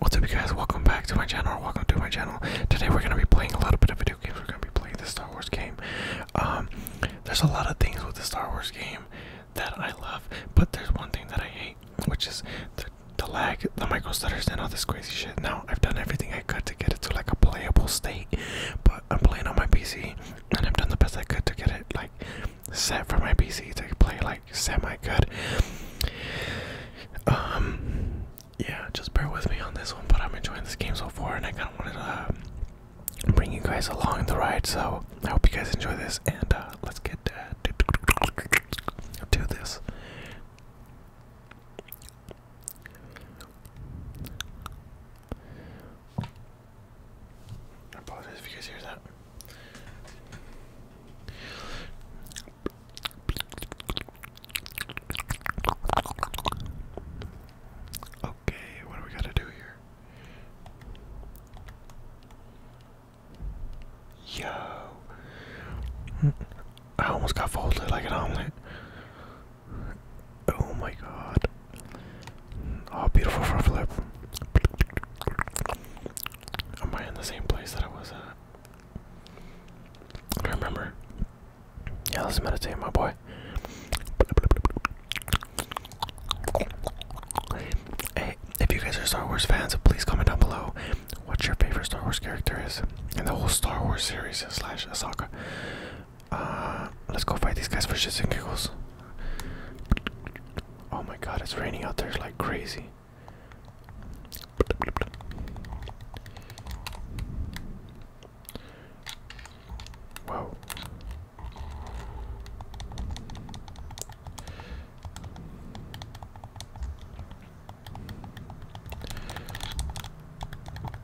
What's up guys, welcome back to my channel, welcome to my channel. Today we're going to be playing a little bit of video games, we're going to be playing the Star Wars game. Um, there's a lot of things with the Star Wars game that I love, but there's one thing that I hate, which is the, lag, the micro stutter, and all this crazy shit. Now, I've done everything I could to get it to like a playable state, but I'm playing on my PC, and I've done the best I could to get it like set for my PC to play like semi good. Um, yeah, just bear with me on this one, but I'm enjoying this game so far, and I kind of wanted to uh, bring you guys along the ride. So I hope you guys enjoy this, and uh, let's get uh, to this. I apologize if you guys hear that. Okay, what do we gotta do here? Yo, I almost got folded like an omelet. Oh my god. Oh, beautiful front flip. Am I in the same place that I was at? I remember. Yeah, let's meditate, my boy. Hey, if you guys are Star Wars fans, please comment down below what your favorite Star Wars character is in the whole Star Wars series slash saga. Uh, let's go fight these guys for shits and giggles. Oh my god, it's raining out there like crazy. Whoa.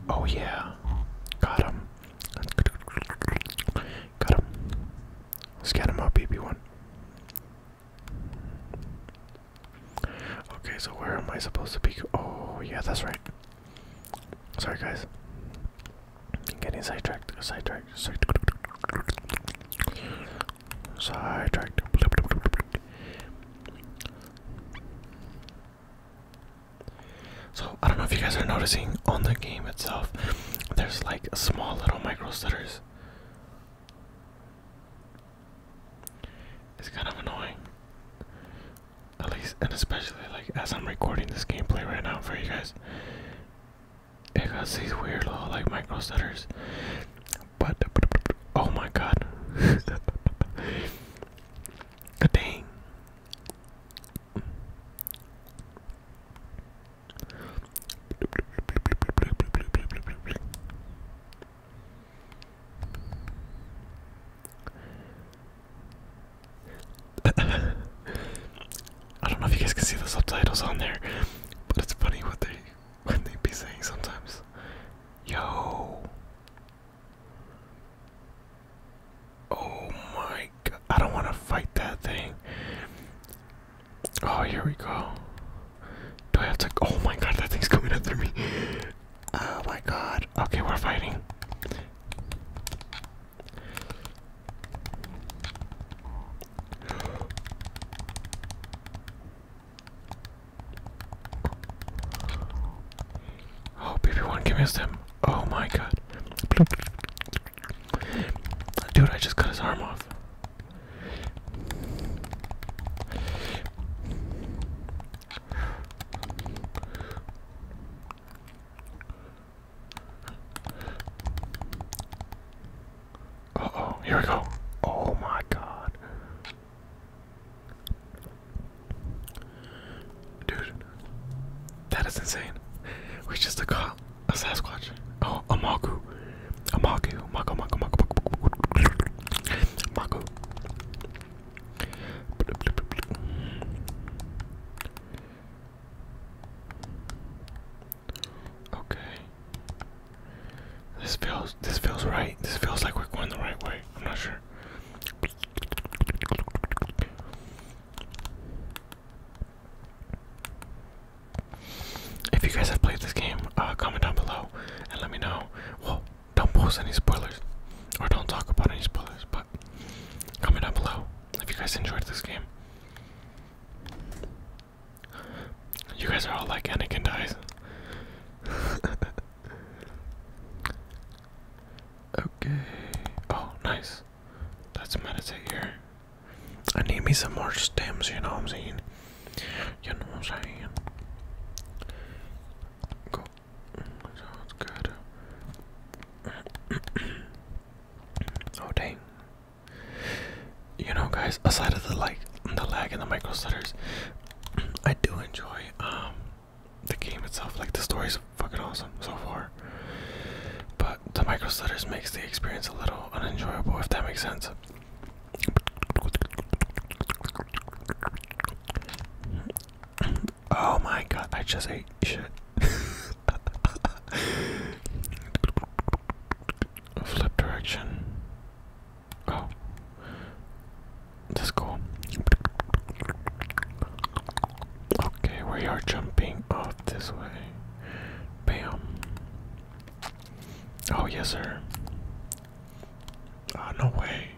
Oh yeah. Got him. Got him. Let's get him up, BB1. Okay, so where am I supposed to be? Oh, yeah, that's right. Sorry, guys. getting sidetracked. Sidetracked. Sidetracked. Sidetracked. So I don't know if you guys are noticing on the game itself, there's like small little micro stutters. It's kind of annoying. At least, and especially like as I'm recording this gameplay right now for you guys, because these weird little like micro stutters. But oh my god, dang. I don't know if you guys can see the subtitles on there, but it's funny what they what they be saying sometimes. Yo. Oh my god. I don't want to fight that thing. Oh, here we go. Do I have to? Oh my god, that thing's coming after me. Oh my god. Okay, we're fighting. Oh, baby one, give me a stem. Oh my god. Dude, I just cut his arm off. Uh oh, here we go. Oh my god. Dude, that is insane. We just got a Sasquatch. Oh, a Magu. Amaku, Mako, Mako, Mako, Mako, Okay. This feels this feels right. This feels like we're going the right way. I'm not sure. If you guys have played this game, uh, comment down below and let me know. Well, don't post any spoilers or don't talk about any spoilers, but comment down below if you guys enjoyed this game. You guys are all like Anakin dies. okay. Oh, nice. Let's meditate here. I need me some more stems, you know what I'm saying? You know what I'm saying? Go. good. oh dang. You know guys, aside of the like the lag and the micro stutters, I do enjoy um the game itself. Like the story's fucking awesome so far. But the micro stutters makes the experience a little unenjoyable if that makes sense. Oh my god, I just ate shit. Flip direction. Oh. That's cool. Okay, we are jumping off this way. Bam. Oh, yes, sir. Oh, no way.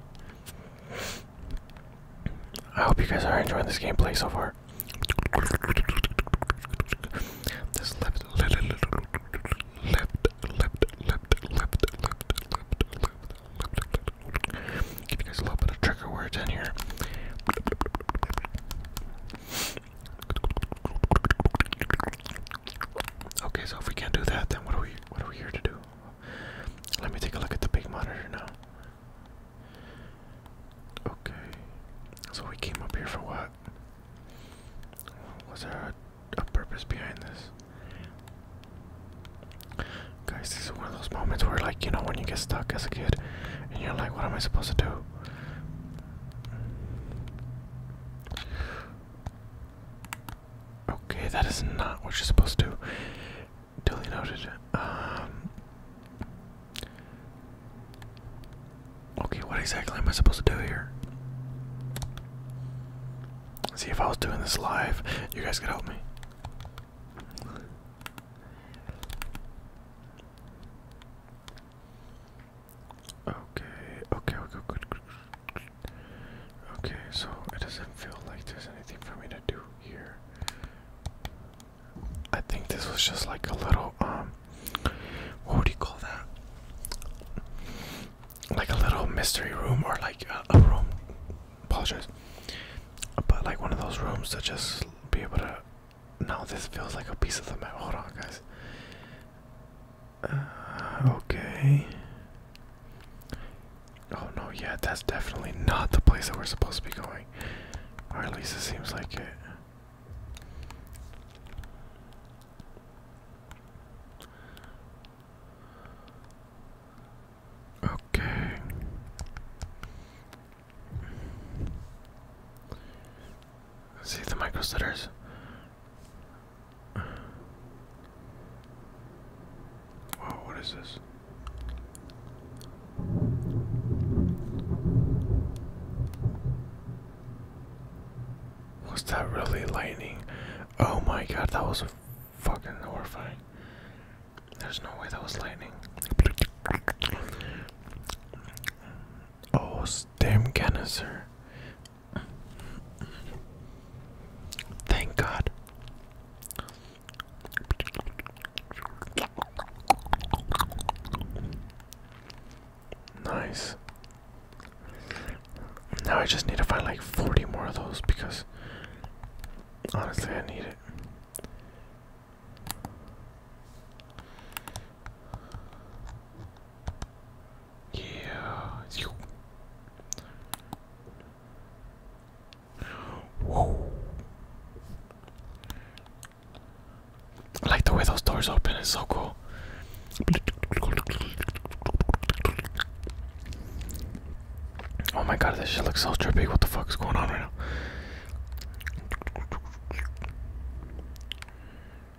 I hope you guys are enjoying this gameplay so far. Give you guys a little bit of trigger words in here. Okay, so if we can't do that, then what are we what are we here to do? Let me take a look at the big monitor now. Okay. So we came up here for what? Was there a, a purpose behind this? Guys, this is one of those moments where like, you know, when you get stuck as a kid and you're like, what am I supposed to do? Okay, that is not what you're supposed to do. Duly noted. Um. Okay, what exactly am I supposed to do here? See, if I was doing this live, you guys could help me. Okay, okay, okay, good, Okay, so it doesn't feel like there's anything for me to do here. I think this was just like a little, um, what would you call that? Like a little mystery room or like a, a room, apologize, but like one of those rooms to just be able to. Now this feels like a piece of the map. Hold on, guys okay. Oh no, yeah, that's definitely not the place that we're supposed to be going. Or at least it seems like it. Okay. See the micro Wow, oh, what is this? Was that really lightning? Oh my god, that was fucking horrifying. There's no way that was lightning. Oh, damn canister. Thank God. Nice. Now I just need to find like 40 more of those because honestly, I need it. Yeah. Whoa. I like the way those doors open, it's so cool. Oh my god, this shit looks so trippy. What the fuck is going on right now?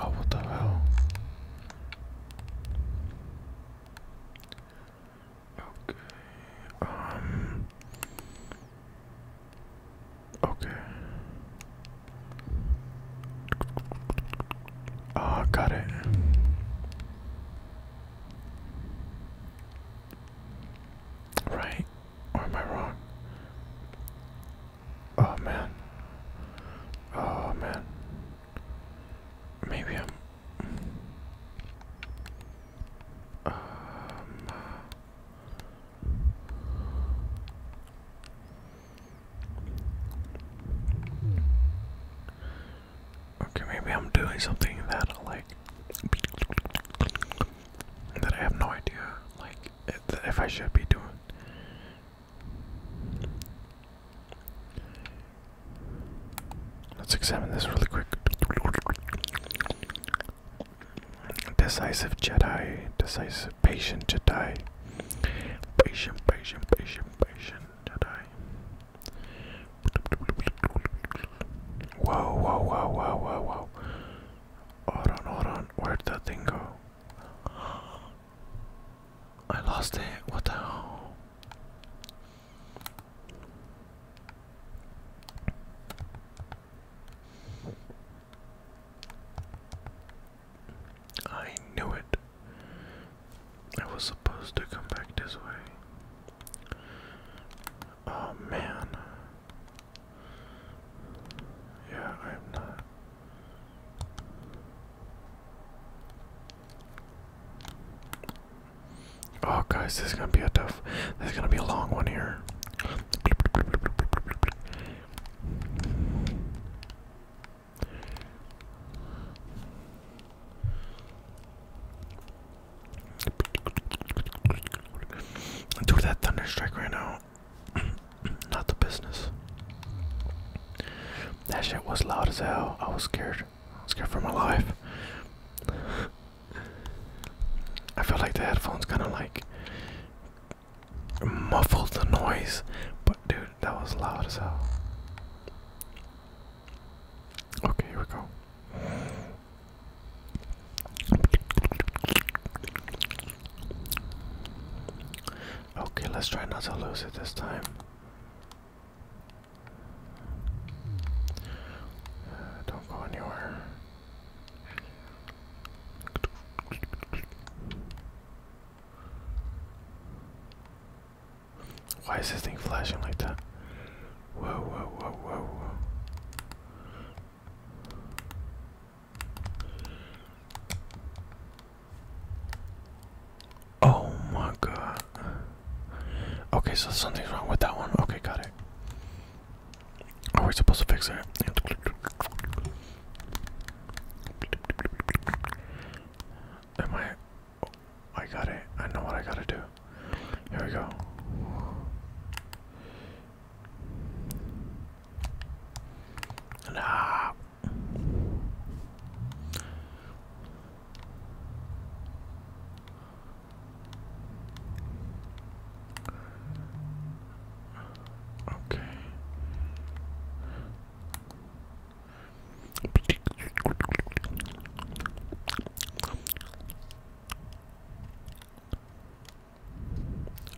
Oh, what the hell? Okay. Um. Okay. Ah, got it. Right? Or am I wrong? Oh man. Oh man. Maybe I'm. Um, okay, maybe I'm doing something that like that I have no idea, like if I should be doing. Let's examine this really quick. Decisive Jedi, decisive, patient Jedi, patient, patient, patient, patient Jedi. Whoa, whoa, whoa, whoa, whoa, whoa. Hold on, hold on. Where'd that thing go? I lost it. What the hell? I knew it. I was supposed to come back this way. Oh man. Yeah, I am not. Oh, guys, this is gonna be a tough. This is gonna be a long one here. Dude, that thunder strike right now. Not the business. That shit was loud as hell. I was scared. scared for my life. I feel like the headphones kind of like muffled the noise, but dude, that was loud as hell. Okay, here we go. Okay, let's try not to lose it this time. Uh, don't go anywhere. Why is this thing flashing like that? whoa, whoa, whoa, whoa. Oh my god. Okay, so something's wrong with that one. Okay, got it. Are we supposed to fix it? Am I? I got it. I know what I gotta do. Here we go. Nah. Okay.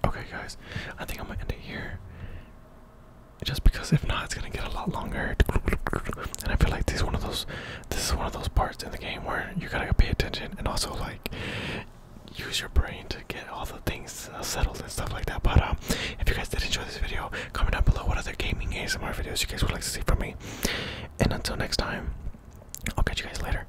Okay, guys, I think I'm gonna end it here. Just because if not, it's gonna get a lot longer. And I feel like this is one of those, this is one of those parts in the game where you gotta pay attention and also like use your brain to get all the things uh, settled and stuff like that. But um, if you guys did enjoy this video, comment down below what other gaming ASMR videos you guys would like to see from me. And until next time, I'll catch you guys later.